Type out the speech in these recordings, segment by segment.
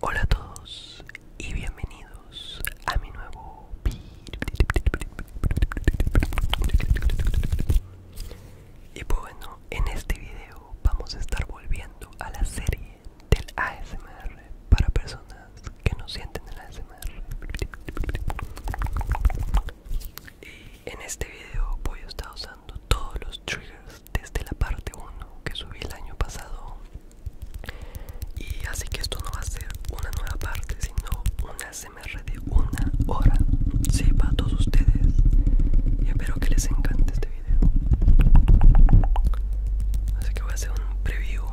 Hola a todos y bienvenidos a mi nuevo Y bueno, en este video vamos a estar volviendo a la serie del ASMR para personas que no sienten el SMR. Y en este video voy a estar usando todos los triggers desde la parte 1 que subí el año pasado. Y así que esto no va a ser una nueva parte, sino un SMR de una hora. Sí, para todos ustedes. Y espero que les encante este video. Así que voy a hacer un preview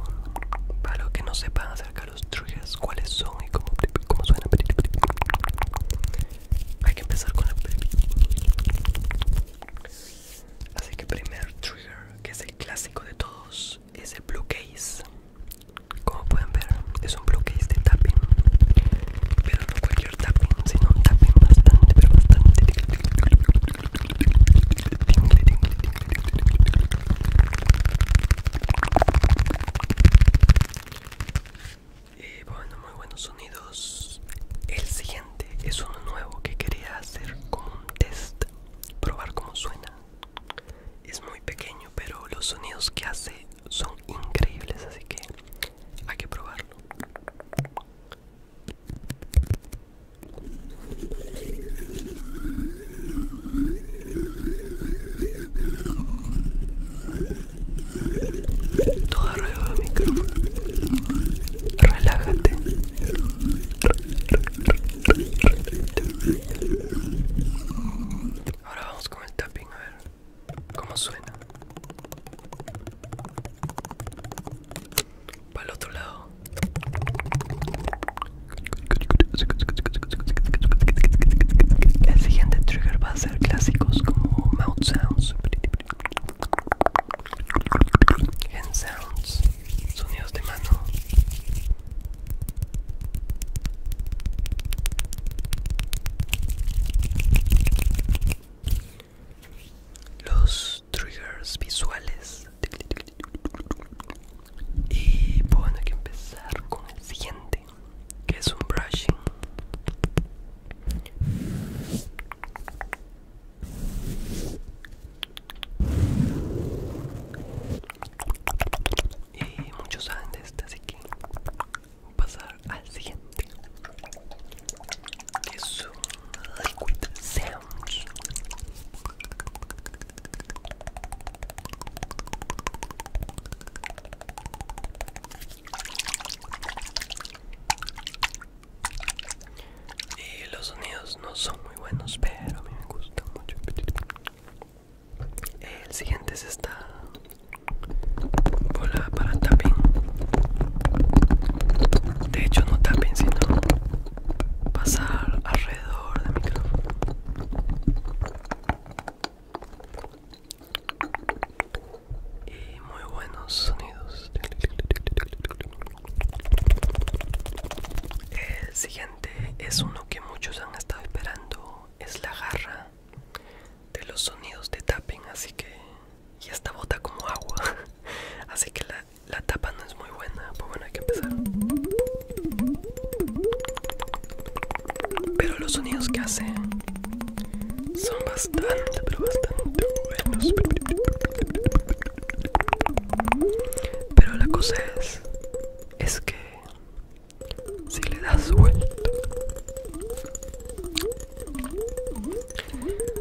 para los que no sepan acerca los triggers, cuáles son y cómo, cómo suenan. Hay que empezar con el Así que primer trigger, que es el clásico de todos, es el blue case. Como pueden ver, es un blue case de tapping. Pero no cualquier tapping, sino un tapping bastante, pero bastante y eh, bueno, muy buenos sonidos. El siguiente es uno nuevo que quería hacer como un test, probar cómo suena. Es muy pequeño, pero los sonidos que hace son increíbles, así que hay que probarlo. Todo arriba del micrófono. Relájate. Ahora vamos con el tapping a ver cómo suena. Para el otro lado. El siguiente trigger va a ser clásicos como mouth sounds, hand sounds, sonidos de mano. Los triggers visuales y pues bueno, hay que empezar con el siguiente, que es un brushing. Y muchos saben de este, así que vamos a pasar al siguiente. Que es un liquid sounds. Y los sonidos no son muy buenos, pero a mí me gusta mucho. El siguiente es esta bola para tapping. De hecho, no tapping, sino pasar alrededor del micrófono y muy buenos sonidos el siguiente es uno que muchos han estado esperando es la garra de los sonidos de tapping así que y esta bota como agua así que la, la tapa no es muy buena pues bueno hay que empezar pero los sonidos que hace son bastante, pero bastante buenos. Pero la cosa es, es que si le das vuelta,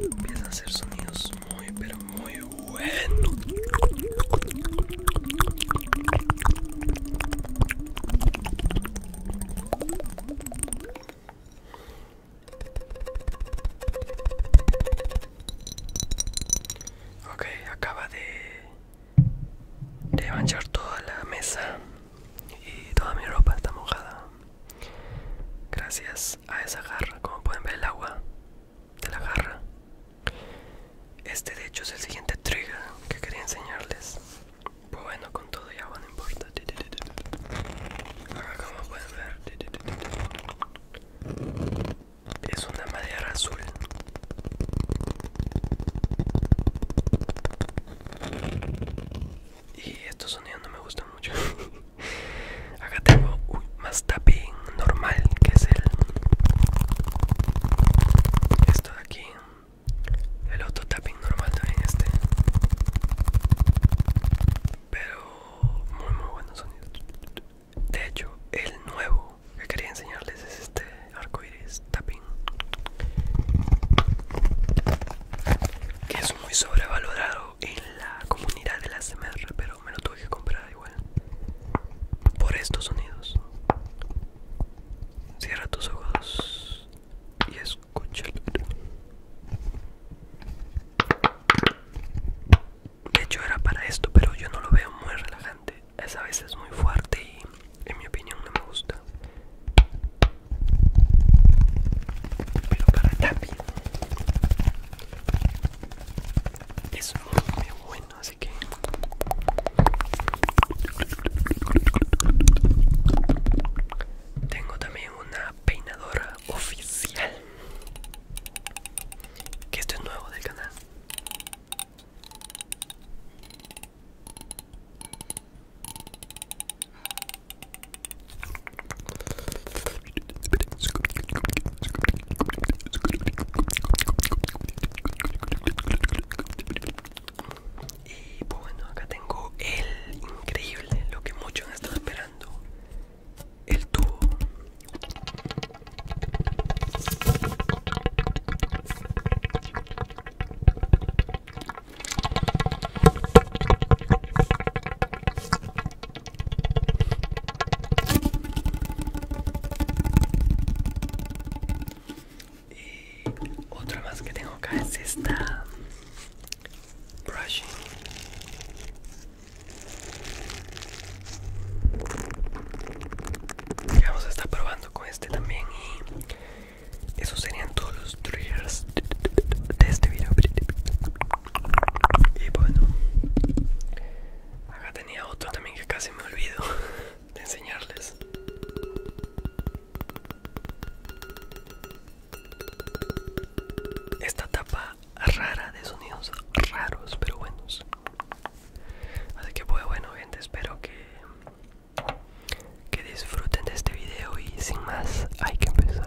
empiezan a hacer sonidos muy, pero muy buenos. Ok, acaba de, de manchar toda la mesa y toda mi ropa está mojada. Gracias a esa garra, como pueden ver el agua de la garra este de hecho es el siguiente trigger que quería enseñarles. Pues bueno, con todo ya no importa. como pueden ver, es una madera azul. Y estos sonidos no me gustan mucho. Acá tengo un más tapping normal que es el... Esto de aquí el otro tapping normal también este pero muy muy buenos sonidos de hecho el nuevo que quería enseñarles es este arco tapping que es muy sobrevalorado en la comunidad de la SMR pero me lo tuve que comprar igual por estos sonidos Cierra tus ojos y escúchalo. De hecho era para esto, pero yo no lo veo muy relajante. Es a veces muy fuerte y en mi opinión no me gusta. Pero para TAPI es muy bueno tengo también una peinadora oficial que esto es nuevo del canal y pues, bueno, acá tengo el increíble, lo que muchos han estado esperando. El tubo. Y eh, otra más que tengo acá es esta brushing. vamos a estar probando con este también y esos serían todos los triggers de este video. Y bueno, acá tenía otro también que casi me olvido. de enseñarles. Esta tapa rara de sonidos raros pero buenos. Así que pues bueno gente, espero que, que disfruten de este video y sin más hay que empezar.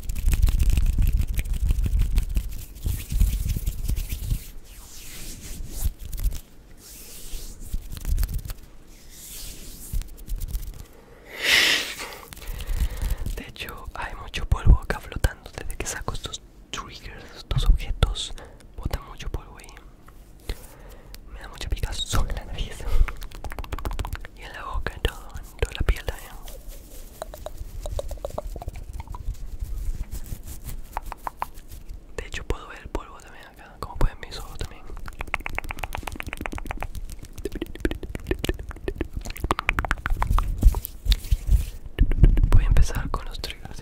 De hecho, hay mucho polvo acá flotando desde que saco estos triggers, estos objetos. Botan mucho polvo ahí. Me da mucha picazón en la nariz y en la boca, en todo, en toda la piel también. De hecho puedo ver el polvo también acá, como pueden mis ojos también. Voy a empezar con los triggers.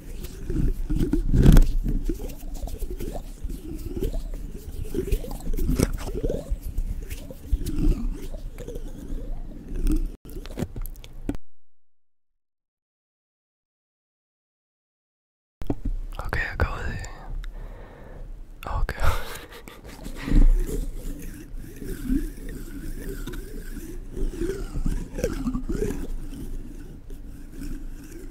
Okay, I go there. Okay.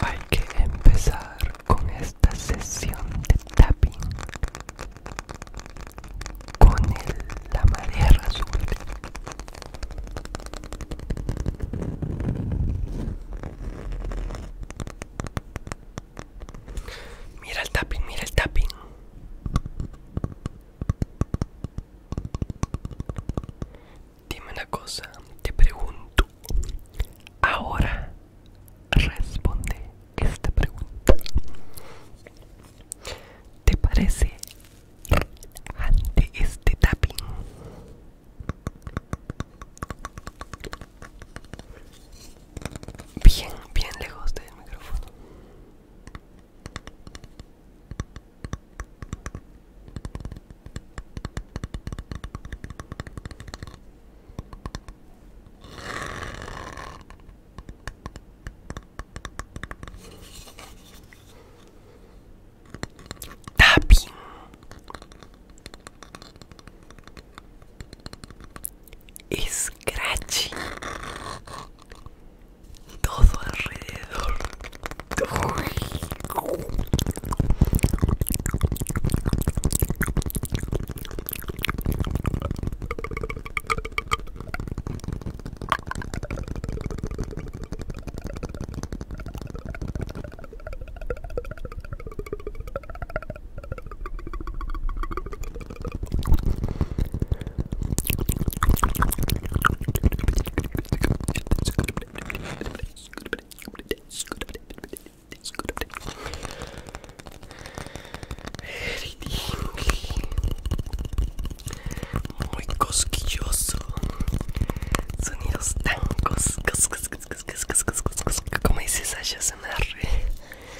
Hay que empezar con esta sesión de tapping con la madera azul. Mira el tapping, mira el tapping. Dime una cosa, te pregunto. Ahora responde esta pregunta. ¿Te parece ante este tapping? bien, bien lejos del micrófono. Scratchy. Todo alrededor. muy cosquilloso sonidos tan cos cos cos cos cos cos cos cos cos como dice Sasha SMR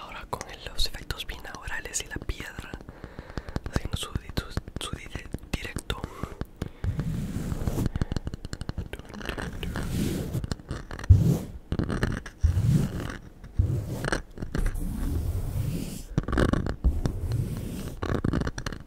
Ahora con los efectos binaurales y la piedra haciendo su, directo.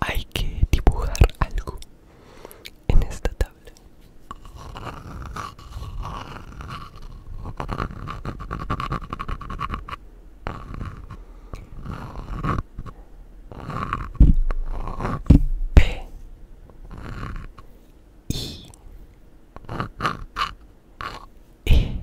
Hay que dibujar algo en esta tabla. P E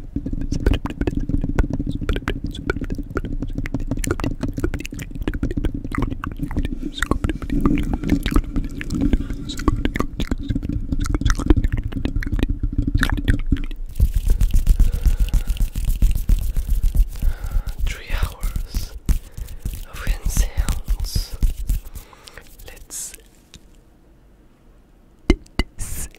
Three hours of wind sounds. Let's. Let's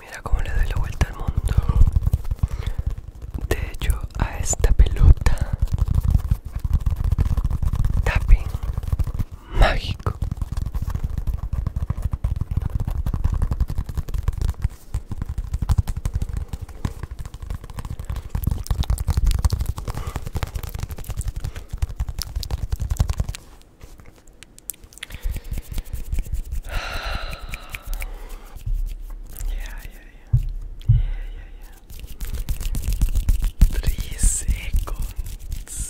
Mira cómo le doy la vuelta al mundo. De hecho, a esta pelota. Tapping mágico. Yeah, yeah, yeah. 3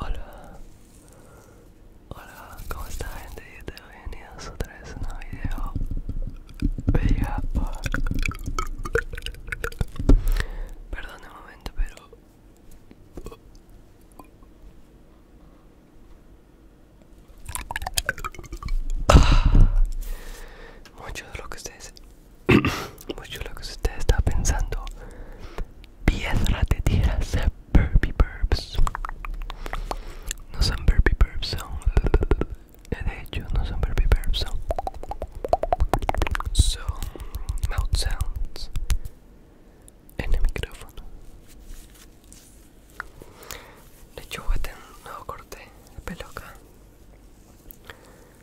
Hola, hola, ¿cómo está gente? Bienvenidos otra vez a un video Perdón un momento, pero. Eh, mucho de lo que ustedes mucho pues lo que usted está pensando. Piedra de ser burpee burps. No son burpee burps, son. De hecho, no son burpee burps, son. Son mouth sounds en el micrófono. De hecho, un nuevo corte de peluca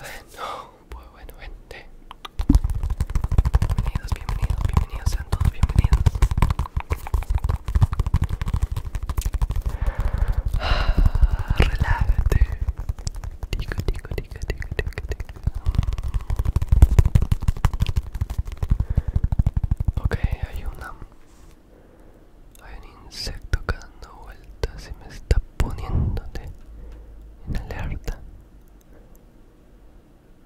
bueno, pues bueno, vente Bienvenidos, bienvenidos, bienvenidos sean todos, bienvenidos. Ah, relájate. Tico, tico, tico, tico, tico, Ok, hay una hay un insecto dando vueltas y me está poniéndote en alerta.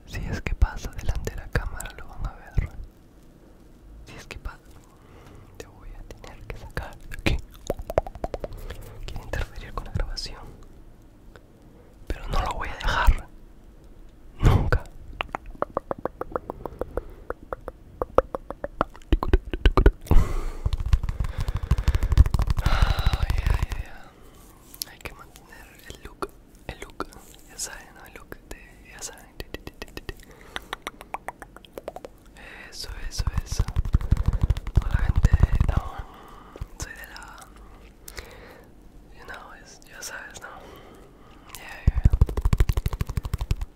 Si es que pasa delante de la cámara lo van a ver. Si es que pasa, te voy a tener que sacar aquí. Quiere interferir con la grabación. Pero no lo voy a dejar. Nunca. يا يا يا هاي كمان اللوك اللوك يا زين اللوك يا زين eso eso eso toda la gente no soy de la you know es ya sabes no yeah yeah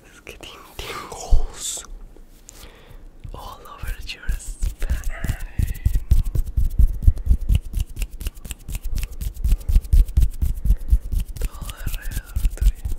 It's getting tingles all over your spine. Todo alrededor tuyo.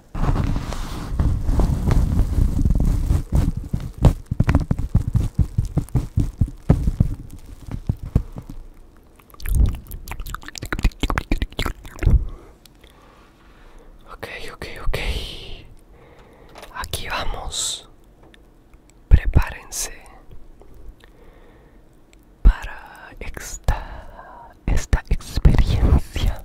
Okay, okay, okay. Aquí vamos. Prepárense para esta, esta experiencia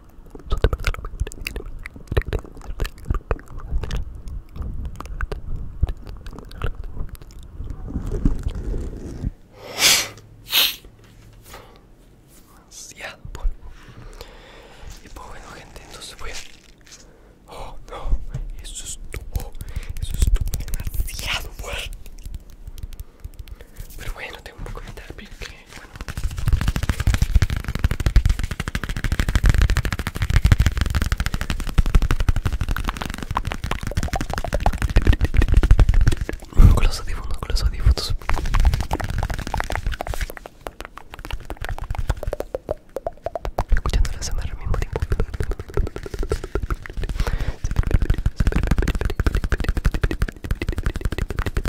Demasiado polvo. Y pues bueno, gente, entonces voy a. Oh, no, eso estuvo, eso estuvo demasiado pero bueno, tengo un comentario que, bueno. Con los audífonos, con los audífonos. Escuchando la semana al mismo tiempo.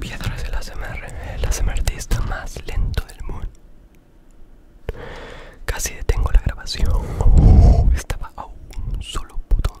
Piedra es el ASMR, el más lento del mundo. Casi detengo la grabación. Estaba a un solo botón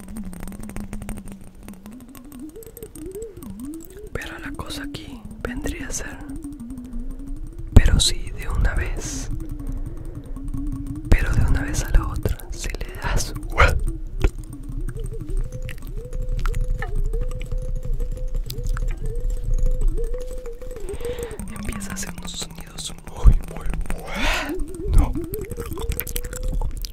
Pero la cosa aquí vendría a ser, pero si de una vez, pero de una vez a la otra, si le das empieza a hacer unos sonidos muy muy No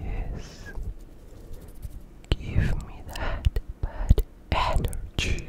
Yes, give me that bad energy.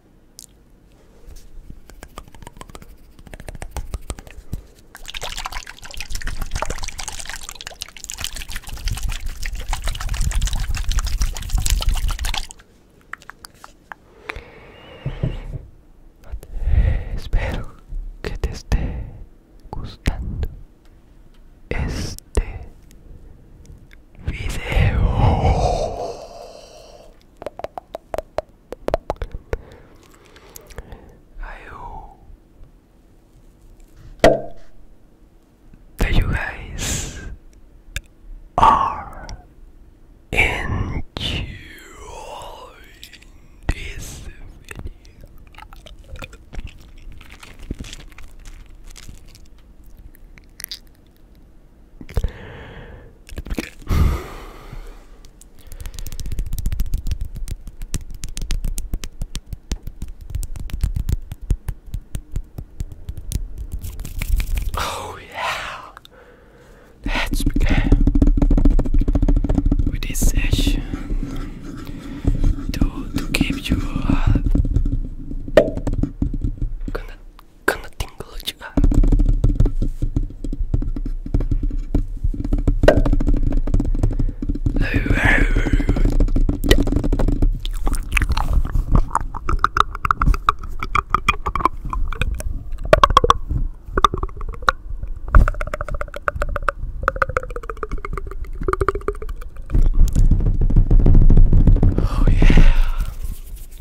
Espero que te esté gustando este video. I hope that you guys are enjoying this video. Oh, yeah, let with this session to, to keep you gonna tingle you Oh yeah.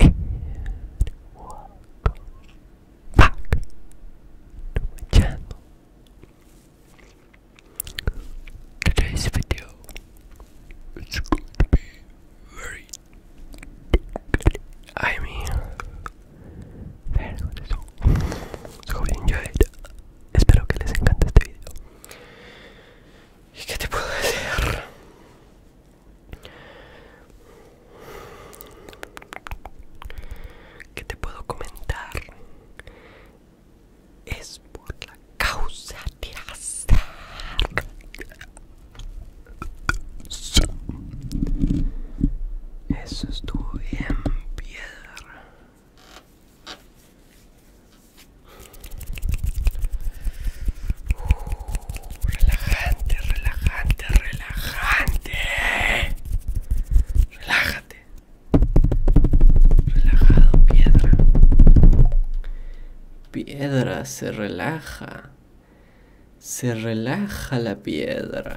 And welcome back to my channel. Today's video is going to be very good. I mean, very good. So, so enjoy it. Espero que les encante este video. ¿Y qué te puedo decir? ¿Qué te puedo comentar? Es por la causa de azar. Eso estuvo bien, piedra. Relajante, relajante, relajante. Relájate. Relajado, piedra. Piedra se relaja. Se relaja la piedra.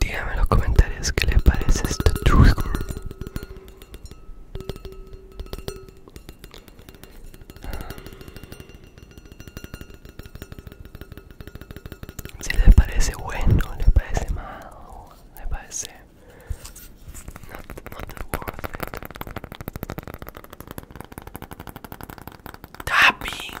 Díganme en los comentarios qué le parece este truco. Si les parece bueno, les parece malo, les parece not, worth it. Tapping.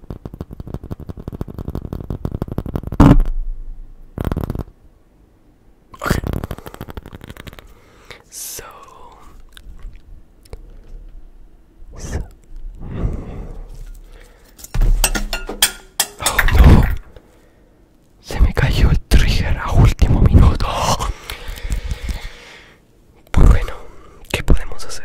Okay. So, oh, no. Se me cayó el trigger a último minuto. bueno, ¿qué podemos hacer?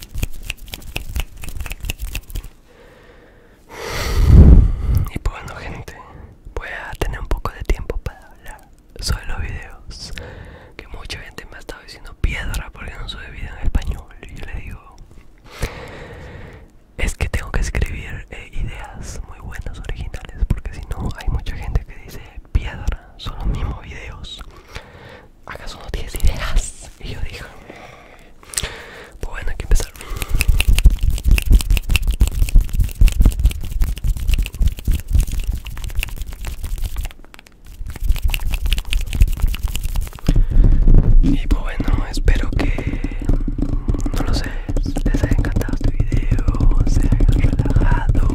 Y bueno gente, voy a tener un poco de tiempo para hablar sobre los videos que mucha gente me ha estado diciendo piedra porque no sube vida en español y yo le digo es que tengo que escribir eh, ideas muy buenas originales porque si no hay mucha gente que dice piedra son los mismos videos ¿Acaso no tienes ideas? Y yo dije, pues bueno, hay que empezar. Y pues bueno, espero que, no lo sé, les haya encantado este video, se hayan relajado,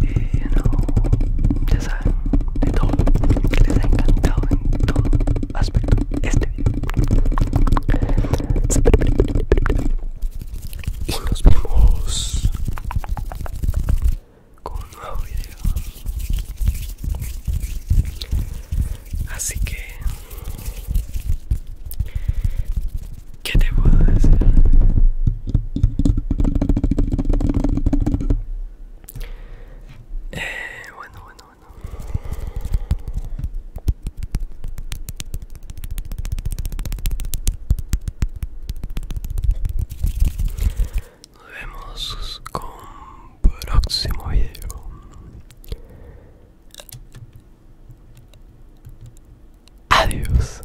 y eh, no, ya saben de todo, que les ha encantado en todo aspecto este video. Y nos vemos con un nuevo video. Así que, ¿qué te puedo decir? Eh, bueno, bueno, bueno. Nos vemos con próximo video. Adiós.